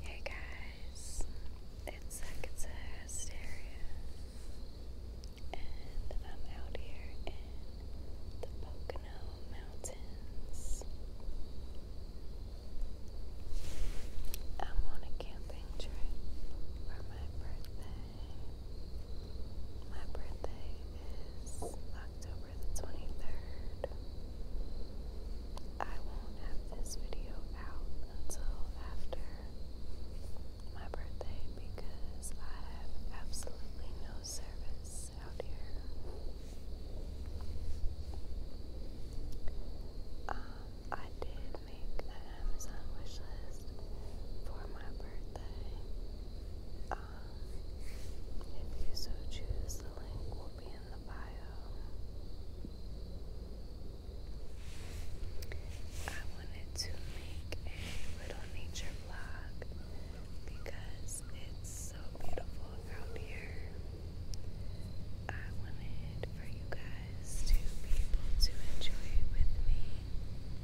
Hey guys, it's Sakitsa and I'm out here in the Pocono Mountains. I'm on a camping trip for my birthday. My birthday is October the 23rd. I won't have this video out until after my birthday because I have absolutely no service out here. Um, I did make an Amazon wish list for my birthday. Um, if you so choose, the link will be in the bio. I wanted to make a little nature vlog because it's so beautiful out here. I wanted for you guys to be able to enjoy it with me.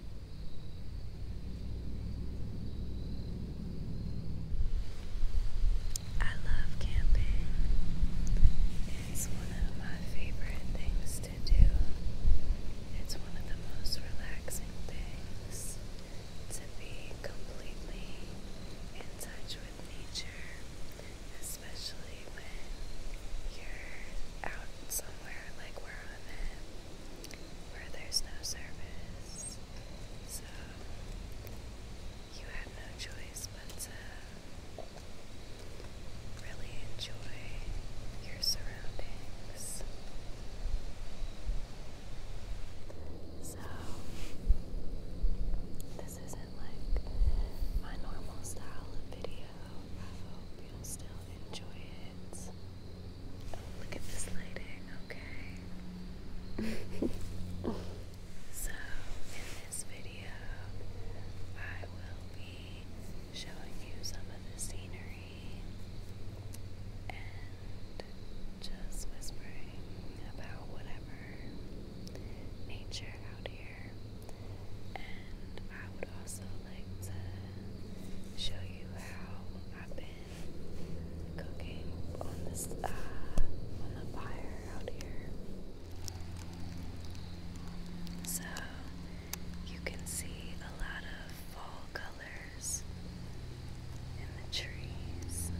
I love camping. It's one of my favorite things to do. It's one of the most relaxing things to be completely in touch with nature, especially you're out somewhere like where I'm at, where there's no service. So you have no choice but to really enjoy your surroundings. So, this isn't like my normal style of video. I hope you'll still enjoy it. Oh, look at this lighting, okay? so, in this video, I will be showing you some of the scenery and just whispering about whatever nature out here I would also like to show you how I've been cooking on this uh, on the fire out here. So you can see a lot of fall colors in the trees.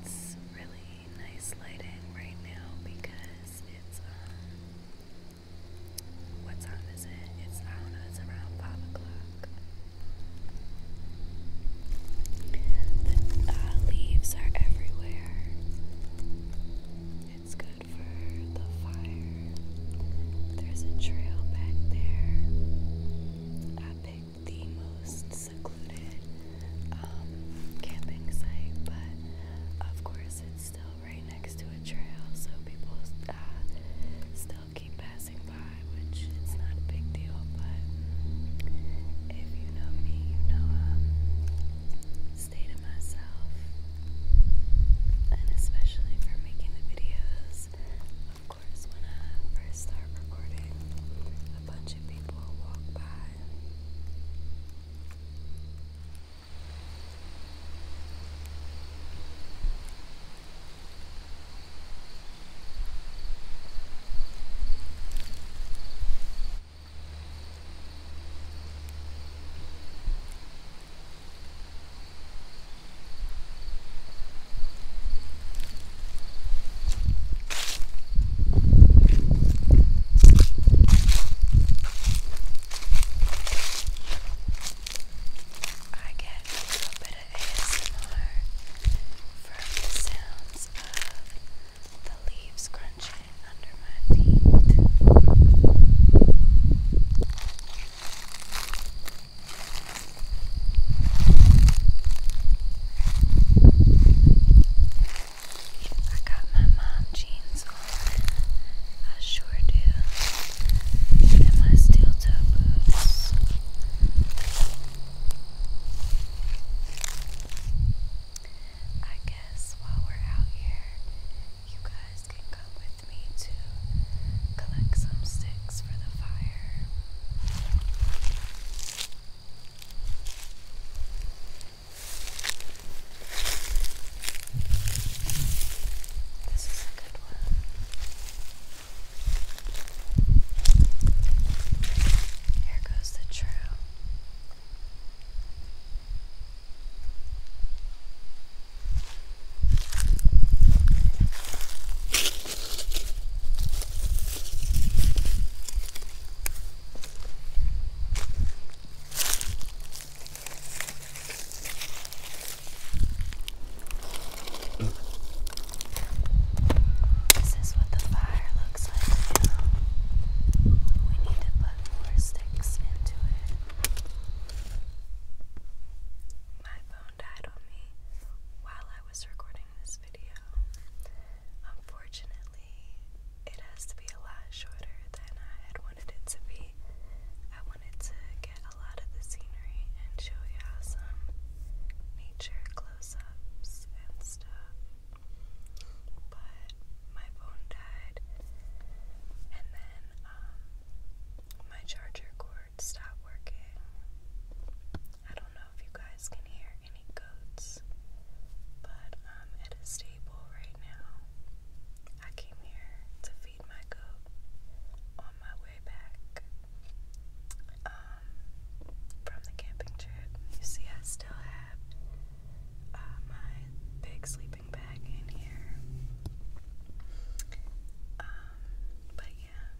It's really nice lighting right now because it's um what time is it? It's I don't know, it's around five o'clock. The uh, leaves are everywhere. It's good for the fire. There's a trail back there. I the most secluded um, camping site, but of course it's still right next to a trail, so people uh, still keep passing by, which it's not a big deal, but if you know me, you know I um, stay to myself, and especially for making the videos, course, when I first start recording, a bunch of people walk by. I get a bit of ASMR from the sounds of the leaves crunching under my feet. I got my mom jeans on, I sure do, and my steel toe boots. I guess while we're out here, you guys can come with with me to collect some sticks for the fire. This is a good one. Here goes the true. This is what the fire looks like now. We need to put more sticks into it. My phone died on me while I was recording this video. Unfortunately, it has to be a lot shorter than I had wanted it to be. I wanted to get a lot of the scenery and show y'all some nature close ups and stuff. But my phone died, and then um, my charger cord stopped working. I don't know if you guys can hear any goats, but I'm um, at a stable right now. I came here to feed my goat on my way back um, from the camping trip. You see, I still have. Uh, my big sleeping bag in here. Um, but yeah,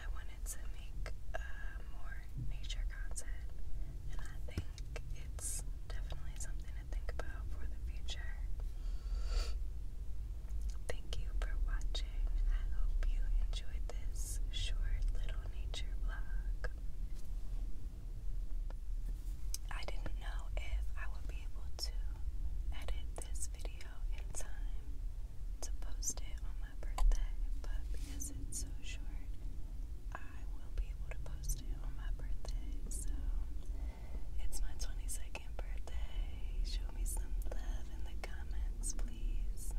I wanted to make uh, more nature content, and I think it's definitely something to think about for the future. Thank you for watching. I hope you enjoyed this short little nature vlog. I didn't know if I would be able to edit this video in time to post it on my birthday, but because it's so short, I will be able to post it on my birthday. So it's my 22nd birthday. Show me some love in the comments, please.